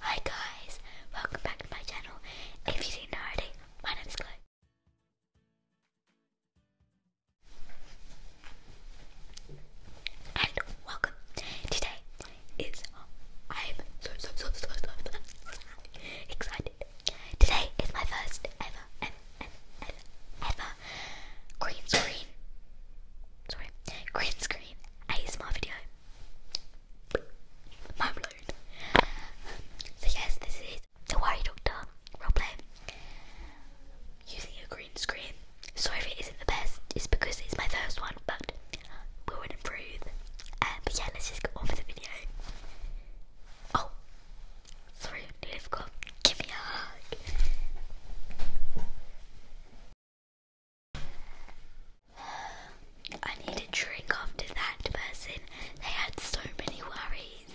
Hi guys, welcome back to my channel. If you didn't already, my name is Chloe. And welcome. Today is I'm so so so so so excited. Today is my first ever ever ever, ever green screen. Sorry, green screen. ASMR video. My blown. So yes, this is the Worry Doctor roleplay using a green screen. Sorry if it isn't the best. It's because it's my first one, but we'll improve. Um, but yeah, let's just go on with the video. Oh, sorry, nearly forgot. Give me a hug. I need a drink after that person. They had so many worries.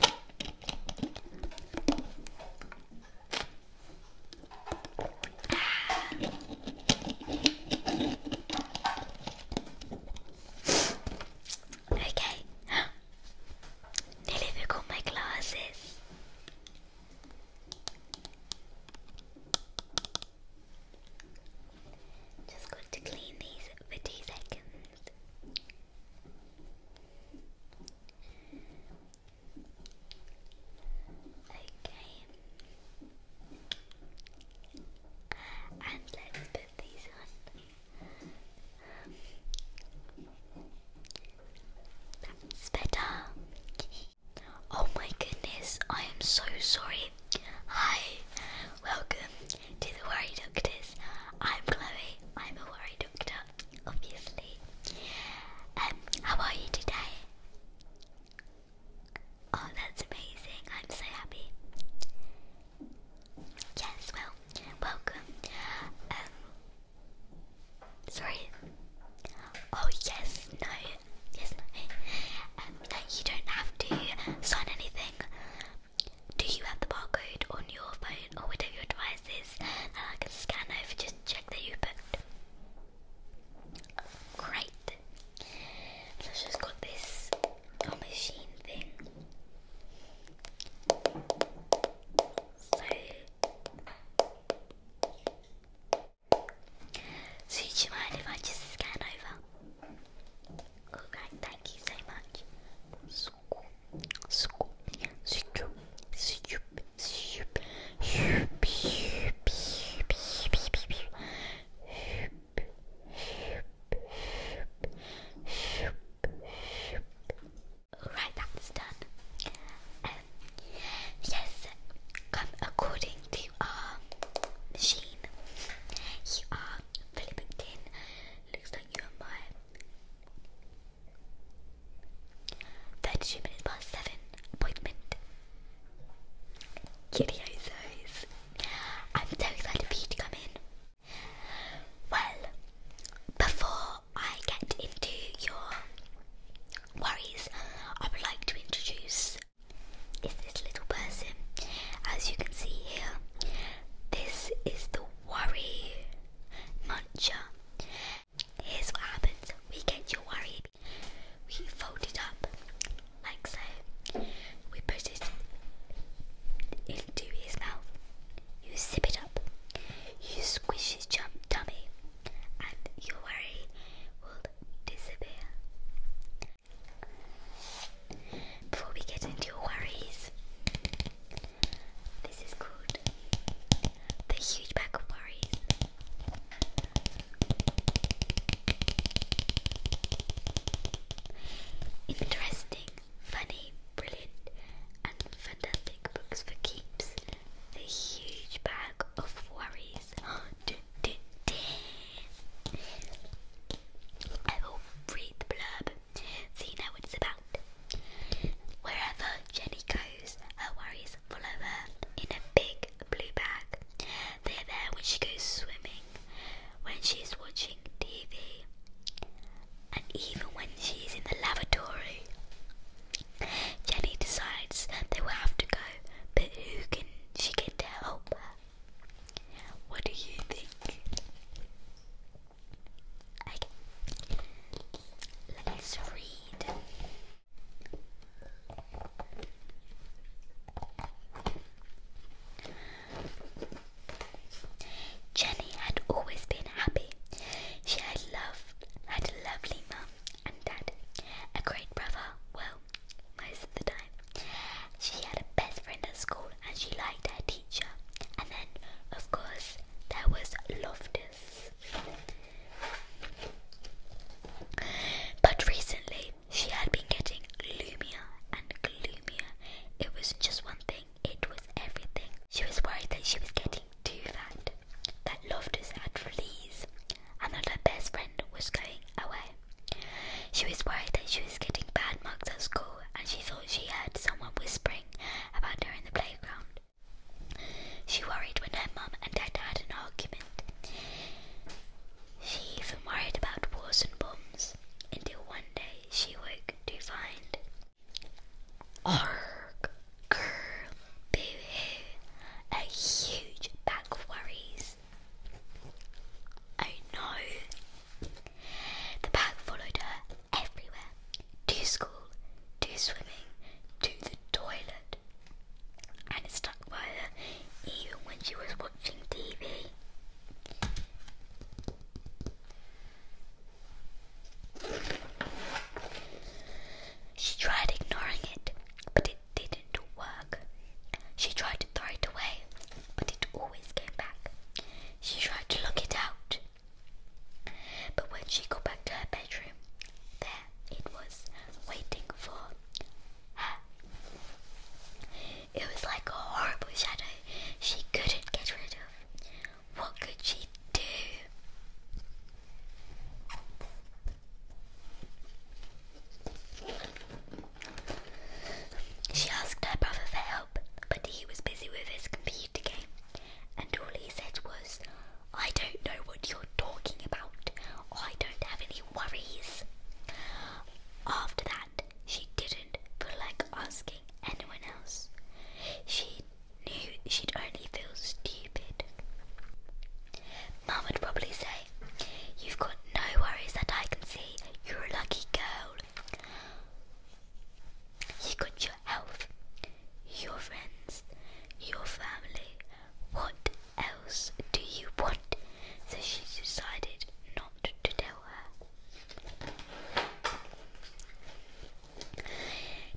okay. Nearly forgot my glasses. Just got to clean these for two seconds. Okay. And let's put these on. That's Oh my goodness, I am so sorry. Hi, welcome to the Worry Doctors. I'm Chloe, I'm a worry doctor, obviously. Um, how are you today? Oh, that's amazing, I'm so happy. Yes, well, welcome. Um, Sorry. Oh yes, no, yes, no. no, um, you don't have to sign anything. Do you have the barcode on your phone or whatever your device is? And I can scan over just check that you booked. Great. Let's just got this machine thing. So do you mind if I just scan over? Alright, thank you so much. Scoop, scoop, scoop, scoop, scoop, scoop, Alright, that's done. Yes, come according to our machine. You are Philippine. Looks like you are my 32 minutes past 7 appointment. Giddyozos. I'm so excited for you to come in. Well, before I get into your worries I would like to introduce is this little person. As you can see here, this is the worry muncher. Here's what happens we get your worry, we fold it up like so, we put it into his mouth, you sip it up, you squish his jump tummy your worry will disappear. Before we get into your worries, this is called the huge bag of worries. Interesting, funny, brilliant, and fantastic books for keeps. The huge bag of worries. I will read the blurb so you know what it's about. Wherever Jenny goes, her worries follow her in a big blue bag. They're there when she goes swimming, when she's watching TV, and even when she's in the lavatory. Jenny decides they will have to go, but who can she get to help What do you think? let's read. Jenny had always been happy. She had loved, had a lovely mum and dad. A great brother, well, most of the time. She had a best friend at school and she liked her teacher. And then, of course, there was Loftus. But recently, she had been getting gloomier and gloomier. It was just one thing, it was everything. She was worried that she was getting too fat that loved us had fleas and that her best friend was going away. She was worried that she was getting bad marks at school and she thought she heard someone whispering about her in the playground. She worried when her mum and dad had an argument. She even worried about wars and bombs until one day she woke to find Arg Girl boo a huge bag of worries. Oh no! The bag followed her everywhere to school, to swimming, to the toilet, and it stuck by her even when she was watching TV. She tried ignoring it, but it didn't work. She tried to throw it away, but it always came back. She tried to look it out, but when she got back to her bedroom, there it was, waiting for her. It was like a horrible shadow she couldn't get rid of. What could she do? She asked her brother for help, but he was busy with his computer game, and all he said was, I don't know what you're talking about. I don't have any worries. After that, she didn't feel like asking anyone else. She knew she'd only feel stupid. Mum would probably say, You've got no worries that I can see. You're a lucky girl. You have got your health, your friends, your family. What else do you want? So she decided not to tell her.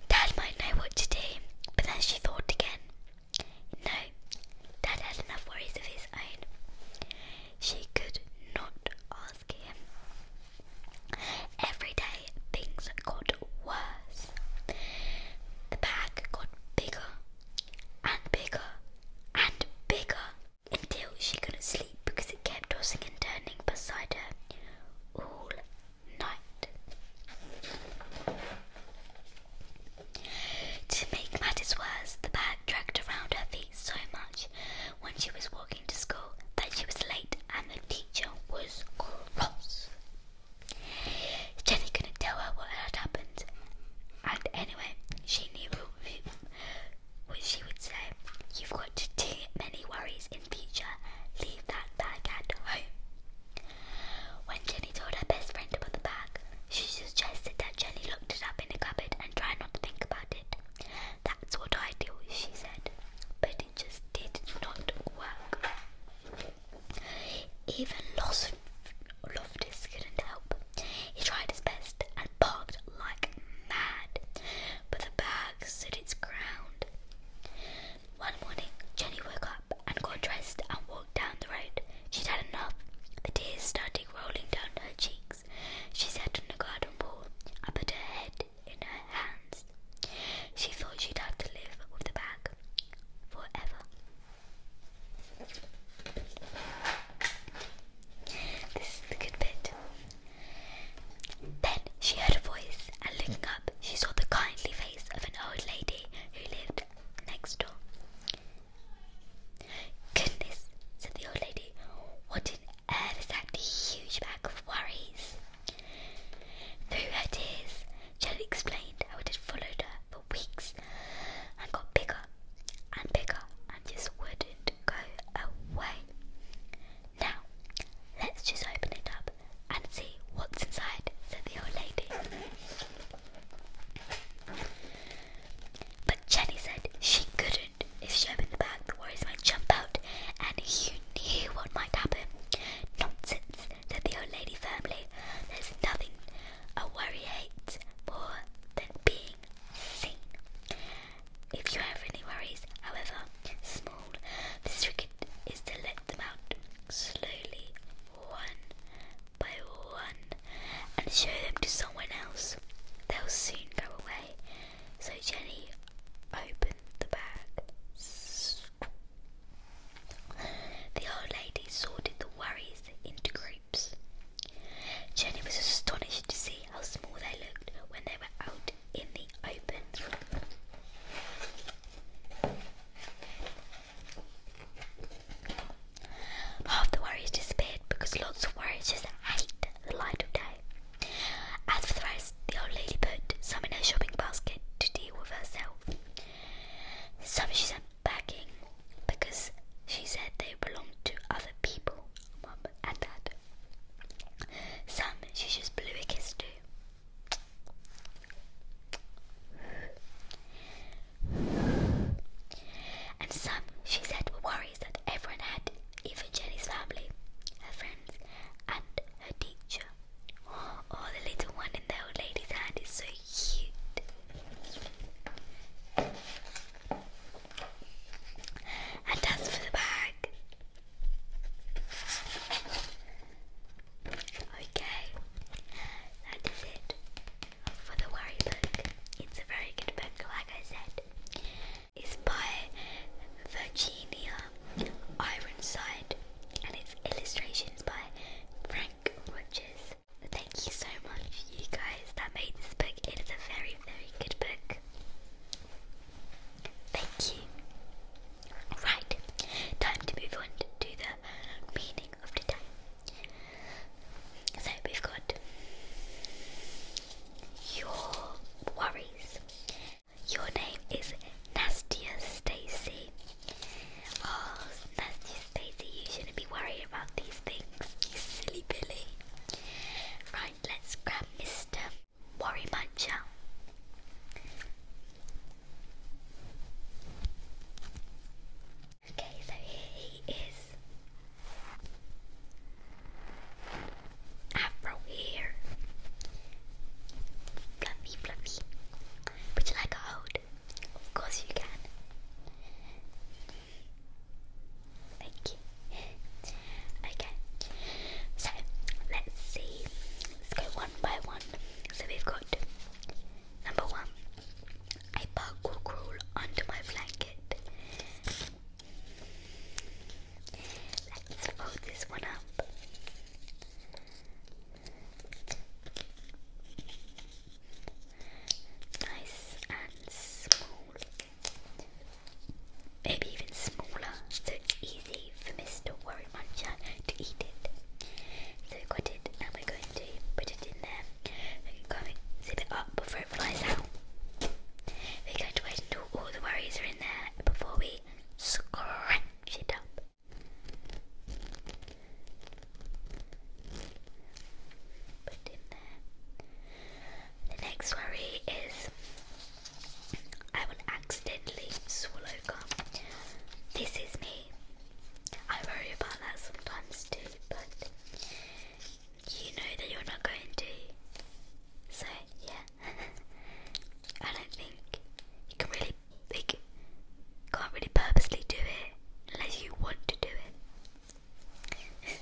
Dad might know what to do, but then she thought again. No, Dad had enough worries of his own. She could not ask him. Every day things got worse. The bag got bigger and bigger and bigger until she couldn't sleep because it kept tossing and turning beside her all night. To make matters worse, the bag dragged around her feet so much when she was walking to school that she was late and the teacher was cross. Jenny couldn't tell her what had happened, and anyway, she knew what she would say. You've got too many worries in future. Leave that bag at home. When Jenny told her best friend about the bag, she suggested that Jenny looked it up in a cupboard and try not to think about it. That's what I do, she said. But it just did not work. Even Los Loftus couldn't help. He tried his best and barked like mad, but the bag stood its ground. One morning, Jenny woke up and got dressed and walked down the road. She'd had enough. The tears started rolling down her cheeks. She sat on the garden wall and put her head in her hands. She thought she'd have to live with the bag forever. This is the good bit. Then she heard a voice, and looking up, she saw the kindly face of an old lady who lived next door. Goodness, said the old lady, what in earth is that huge bag of worries? Through her tears, Jenny explained how it had followed her for weeks and got bigger and bigger and just wouldn't go away. Now, let's just open it up and see what's inside, said the old lady. But Jenny said she couldn't. If she opened the bag, the worries might jump out, and you knew what might happen. Nonsense, said the old lady firmly. There's nothing a worry hates more than being seen. If you have any worries, however small, the trick is to let them out slowly, one by one and show them to someone else. They'll soon go away. So Jenny opened the bag. The old lady sorted the worries into groups. Jenny was astonished to see how small they looked when they were out in the open. Half the warriors disappeared because lots of worries just hate the light of day. As for the rest, the old lady put some in her shopping basket to deal with herself. Some she sent packing because she said they belonged to other people, mum and dad. Some she just blew a kiss to. And some, she said, were worries that everyone had, even Jenny's family, her friends, and her teacher. Oh, the little one in the old lady's hand is so cute. And as for the bag. Okay, that is it for the Worry book. It's a very good book, like I said. It's by Virginia Ironside and it's illustrations by Frank Rogers. Thank you so much, you guys, that made this book. It is a very, very good book. Thank you. Right, time to move on to the meaning of the day. So we've got your worries. Your name is Nastia Stacy. Oh, Nastia Stacy, you shouldn't be worried about these things, you silly Billy. Right, let's grab Mr. Worry Muncher. Okay, so here he is. Afro hair. Fluffy, fluffy. Would you like a hold? Of course you can. Thank you. Okay, so let's see. Let's go one by one. So we've got number one. I will crawl under my blanket. Let's fold this one up. Nice and small. Maybe even smaller, so easy for Mr. Warren Muncher to eat it. So we it, and we're going to put it in there. We can zip it up before it flies out. We're going to wait until all the worries are in there before we scratch it up. Put in there. The next worry is I will accidentally swallow gum. This is me. I worry about that sometimes too, but you know that you're not going to. So yeah, I don't think you can really, like, can't really purposely do it unless you want to do it.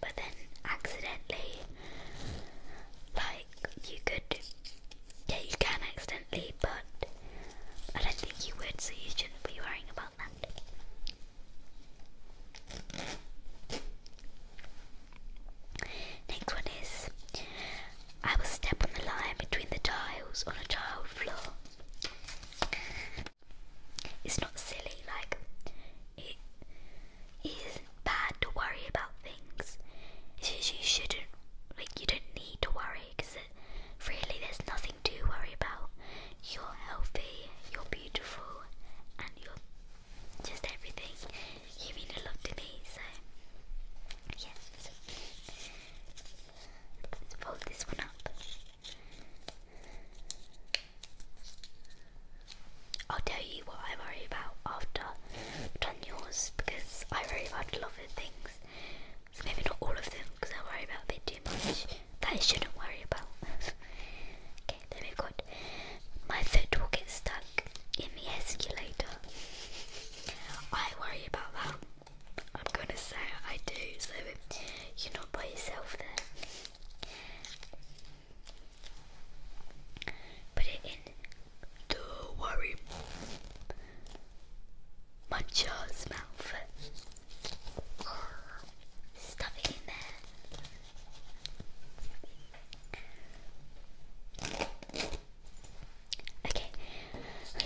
but then accidentally, like, you could, yeah, you can accidentally, but I don't think you would, so you shouldn't be worrying about that. Next one is I will step on the line between the tiles on a tiled floor. It's not silly, like it isn't bad to worry about things. It's just you shouldn't like you don't need to worry because uh, really there's nothing nothing to worry about. You're healthy, you're beautiful, and you're just everything. You mean a lot to me, so yes. Let's fold this one up. I'll tell you what I worry about after done yours because I worry about a lot of things. maybe not all of them because I worry about a too much that I shouldn't worry about. okay, there we My foot will get stuck in the escalator. I worry about that. I'm gonna say I do, so you're not by yourself there. Put it in. Don't worry. My jaw's mouth. Okay,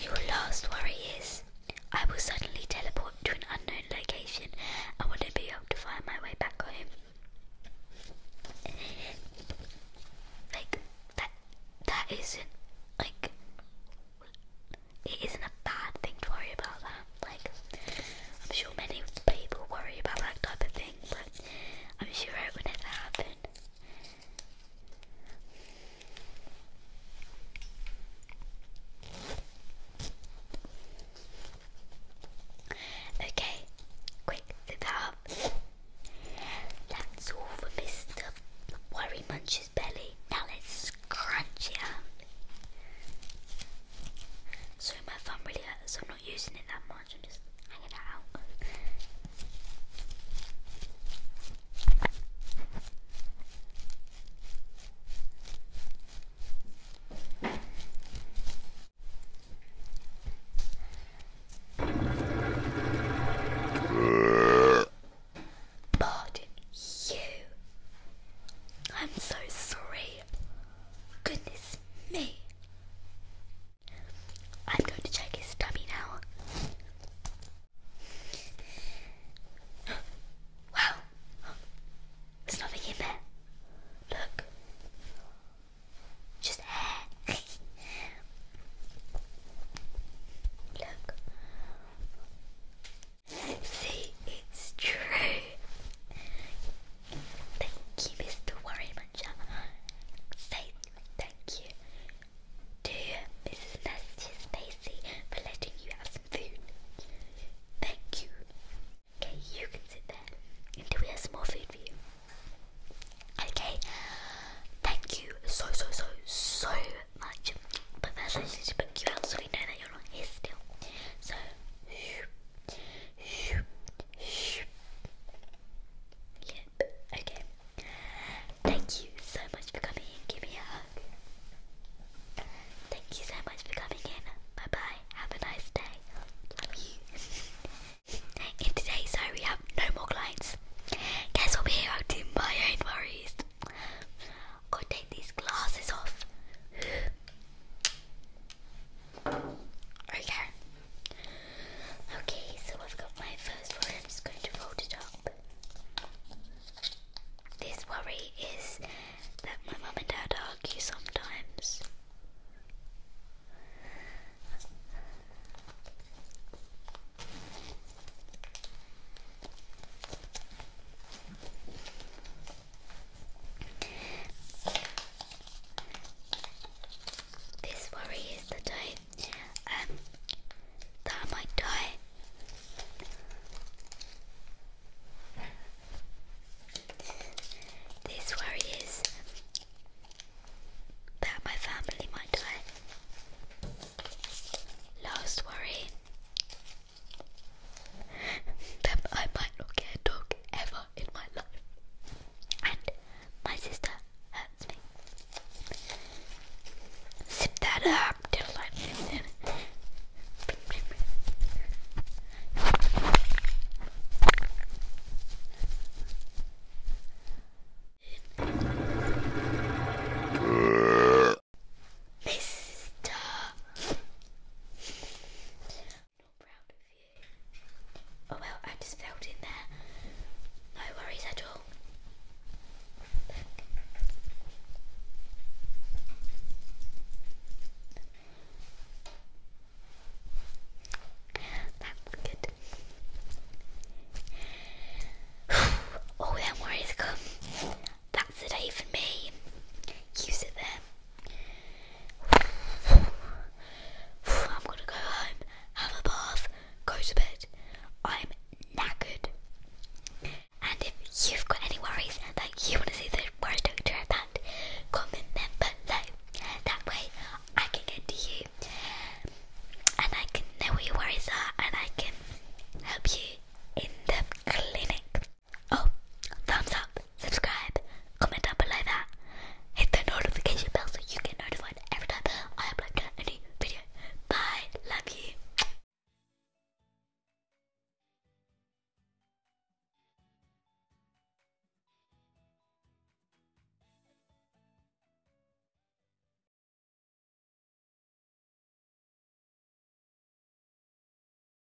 your last worry is I will suddenly teleport to an unknown location and will not be able to find my way back home. Like that that isn't like it isn't a bad thing to worry about that. Like, I'm sure many people worry about that type of thing, but I'm sure it would never happen. Okay, quick, sit up. That's all for Mr. Worry Munch's belly. Now let's crunch it so my thumb really hurts, so I'm not using it that much, I'm just hanging out. Pardon you. I'm so sorry. Goodness me. I'm going to check his tummy now. Wow. There's nothing in there. Look. Just hair. Look. See, it's true. Thank you, Mr. Worry Muncher. Say thank you to Mrs. Nasty Stacy for letting you have some food. Thank you. Okay, you can sit there until we have some more food for you. Okay, thank you so, so, so, so much. But first, I need you out so we know that okay. Thank you so much for coming in. Give me a hug. Thank you so much for coming in. Bye bye. Have a nice day. Love you. in today's show, we have no more clients. Guess what? will be here to do my own worries. got to take these glasses off. Okay. Okay, so I've got my first one. I'm just going to fold it up. This worry is that my mum and dad argue sometimes. This worry is the type um, that I might die. This worry is that my family might die. Last worry I might not get a dog ever in my life. And my sister hurts me. Zip that up till Mr. Oh well, I just fell in there. No worries at all. That's good. oh, them worries come. That's the day for me. You sit there. I'm gonna go home, have a bath, go to bed. I'm knackered. And if you've got any worries that you want to see the worry doctor about, comment them below. That way I can get to you and I can know what your worries are and I can help you in the clinic. Oh, thumbs up, subscribe, comment down below that. Hit the notification bell so you get notified every time I upload a new video. Bye, love you.